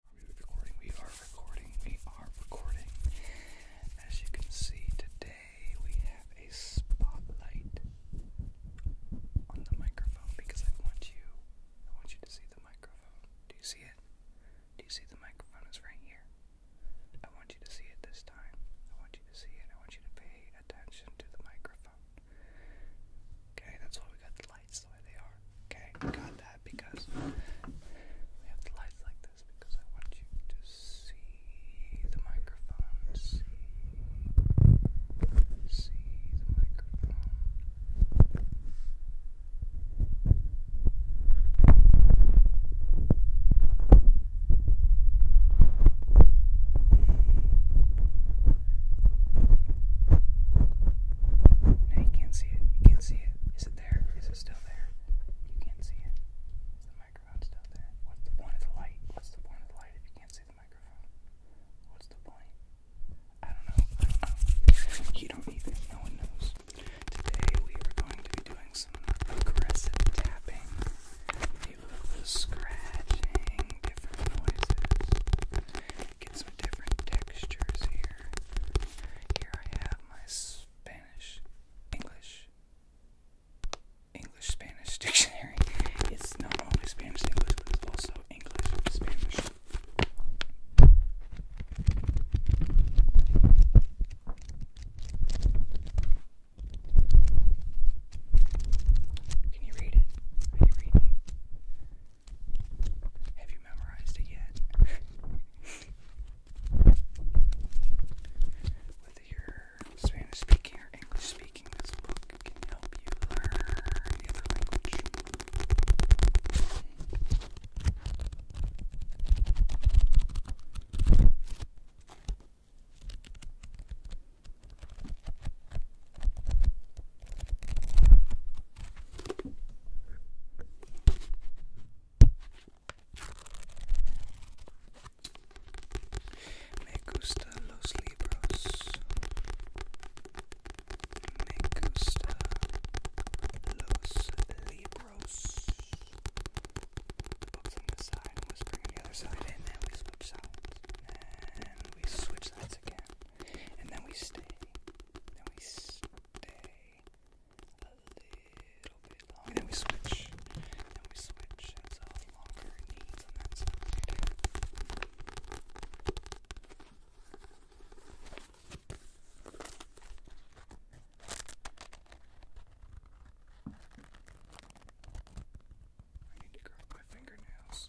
Are we recording? We are recording. We are recording. As you can see today, we have a spotlight on the microphone because I want you. I want you to see the microphone. Do you see it? Do you see the microphone is right here? I want you to see it this time. I want you to see it. I want you to pay attention to the microphone. Okay, that's why we got the light lights the way they are. Okay, got that because we have the lights like this because I want you to see the microphone. See, see the microphone. Now you can't see it. You can't see it. Is it Is it there? Is it still there? You can't see it. Is the microphone still there? What's the point of the light? What's the point of the light if you can't see the microphone? What's the point? I don't know. You don't even. No one knows. Today we are going to be doing some aggressive tapping, a little scratching, different noises. Get some different textures here. Here I have my Spanish, English, English Spanish dictionary. It's not only Spanish English, but it's also English Spanish. Can you read it? Are you reading? Have you memorized it yet? Whether you're Spanish speaking or English speaking, this book can help you learn the other language. Me gustan los libros. Me gustan los libros. Books on the side, whispering on the other side, and then we switch sides. And we switch sides again and then we stay, then we stay a little bit longer, then we switch, then we switch, that's longer needs on that side. I need to grab my fingernails.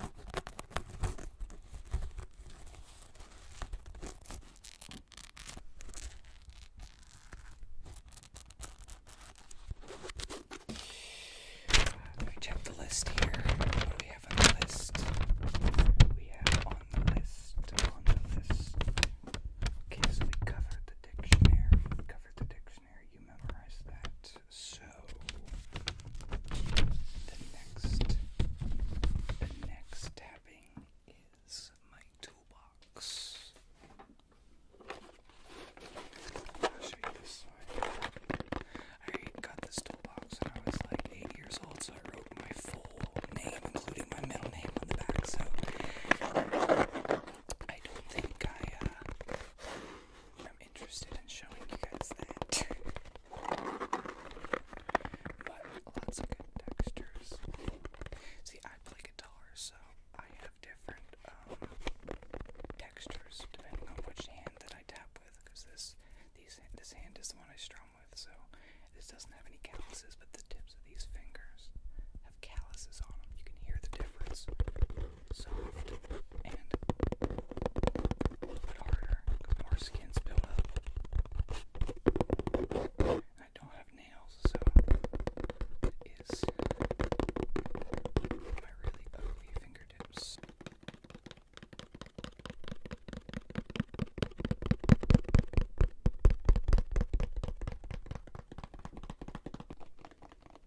I'm check the list here. What do we have on the list? We have on the list, on the list. Okay, so we covered the dictionary. covered the dictionary. You memorized that so the next the next tapping is my toolbox. i got this toolbox when I was like eight years old, so I wrote my full name, including my middle name on the back, so I don't think I uh, I'm interested in showing you guys that. but lots of good textures. See, I play guitar, so I have different um, textures depending on which hand that I tap with. Because this, this hand is the one I strum with, so this doesn't have any calluses, but the tips of these fingers have calluses on them. You can hear the difference soft and a little harder more skin's built up. I don't have nails, so it is my really ugly fingertips.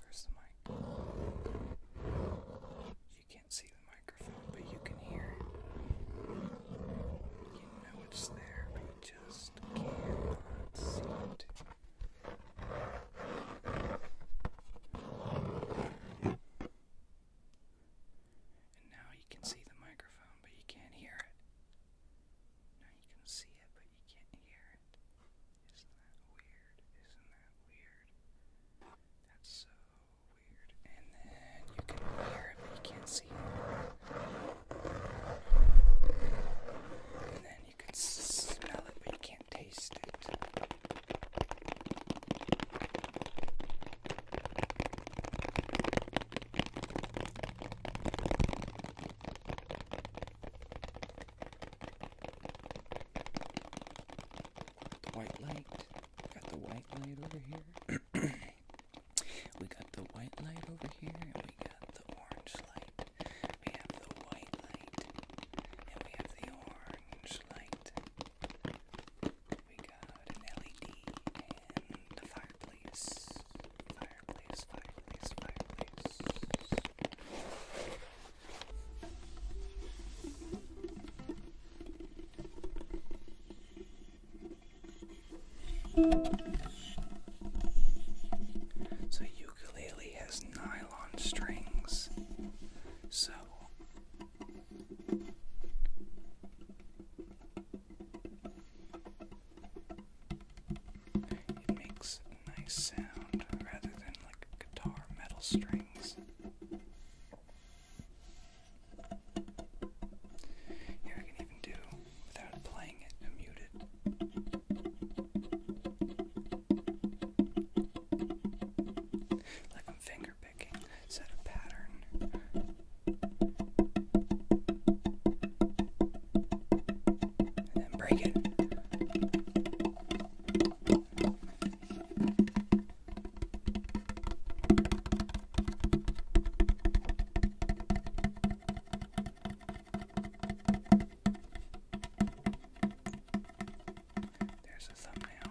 Where's the mic? You can't see the microphone, but you can hear it. You know it's there, but you just And now you can see the microphone, but you can't hear it. Now you can see it, but you can't hear it. Isn't that weird? Isn't that weird? That's so weird. And then you can hear it, but you can't see it. And then you can smell it, but you can't taste it. The white light. Got the white light over here. We got the white light over here, and we got the orange light. We have the white light, and we have the orange light. We got an LED and a fireplace. Fireplace, fireplace, fireplace. So ukulele has nylon strings. So it makes nice sound rather than like guitar metal strings. Here I can even do without playing it and mute it. Like I'm finger picking, set a pattern. And break it. There's a thumbnail.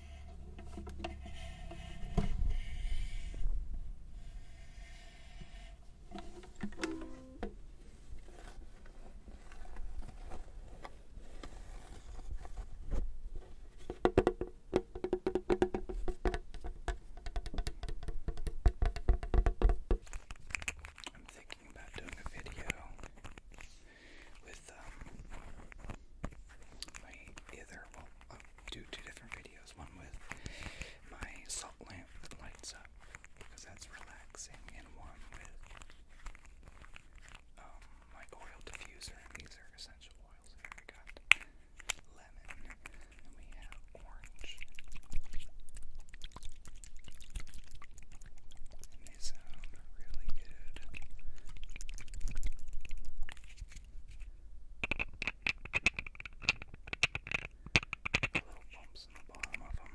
I'm thinking about doing a video with um, my either do two different videos. One with my salt lamp that lights up because that's relaxing, and one with um, my oil diffuser. And these are essential oils. Here we got lemon, and we have orange. And they sound really good. Little bumps in the bottom of them.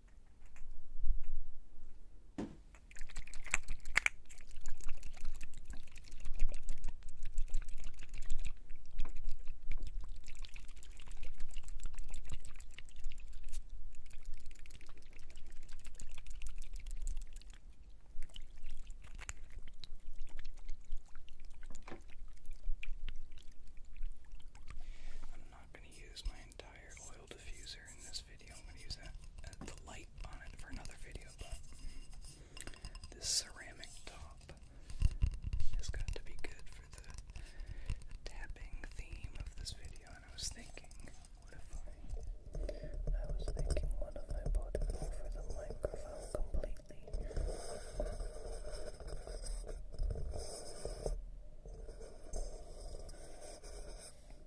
I'm not going to use my entire oil diffuser in this video. I'm going to use uh, the light on it for another video, but mm, this ceramic top has got to be good for the tapping theme of this video. And I was thinking, what if I, I was thinking, what if I bought over the microphone completely?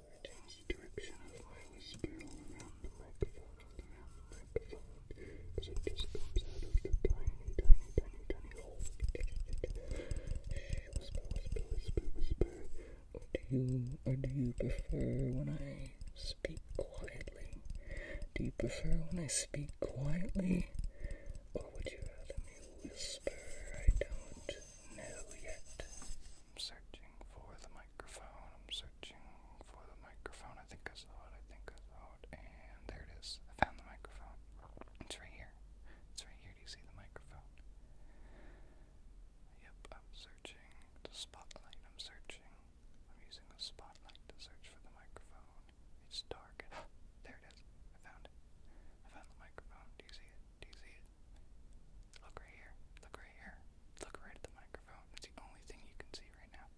I change the direction of my whisper all around the microphone, around the microphone, it just comes out of the tiny, tiny, tiny, tiny hole. whisper, whisper, whisper, whisper. Or do you, or do you prefer when I speak quietly? Do you prefer when I speak quietly? Or would you rather me whisper? I don't know yet. I'm searching for the microphone. I'm searching for the microphone. I think I saw it. I think I saw it. And there it is. I found the microphone. It's right here. It's right here. Do you see the microphone? Yep, I'm searching. The spotlight. I'm searching. I'm using the spotlight to search for the microphone. It's dark. there it is. I found it. I found the microphone. Do you see it? Do you see it? Look right here. Look right here. Look right at the microphone. It's the only thing you can see right now.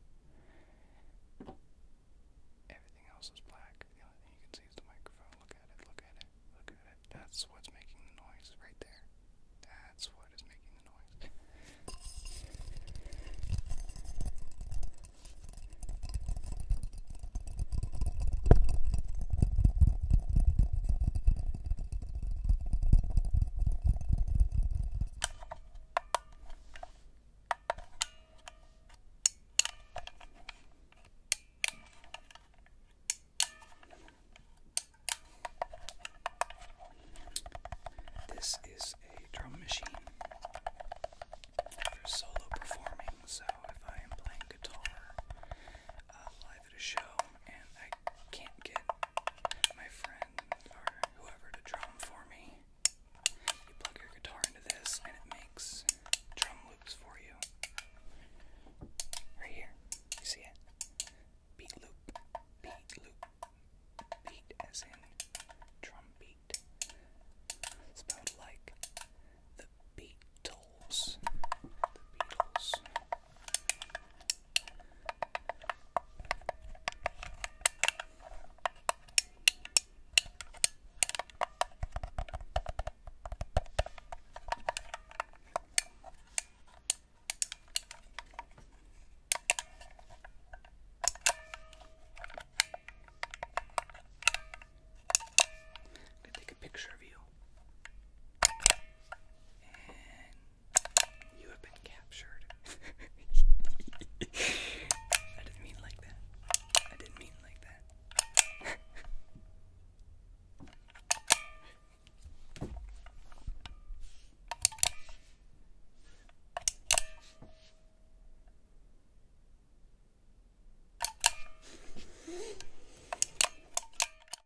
Everything else is black. The only thing you can see is the microphone. Look at it. Look at it. Look at it. That's what's making the noise right there. That's what is making the noise. This is a drum machine for solo performing, so if I am playing guitar uh, live at a show and I can't get my friend or whoever to drum for me. You plug your guitar into this and it makes drum loops for you. Right here. You see it? Beat loop, beat loop, beat as in drum beat. Spelled like the Beatles. The Beatles. I'm gonna take a picture of you and you have been captured. I didn't mean like that. I didn't mean like that.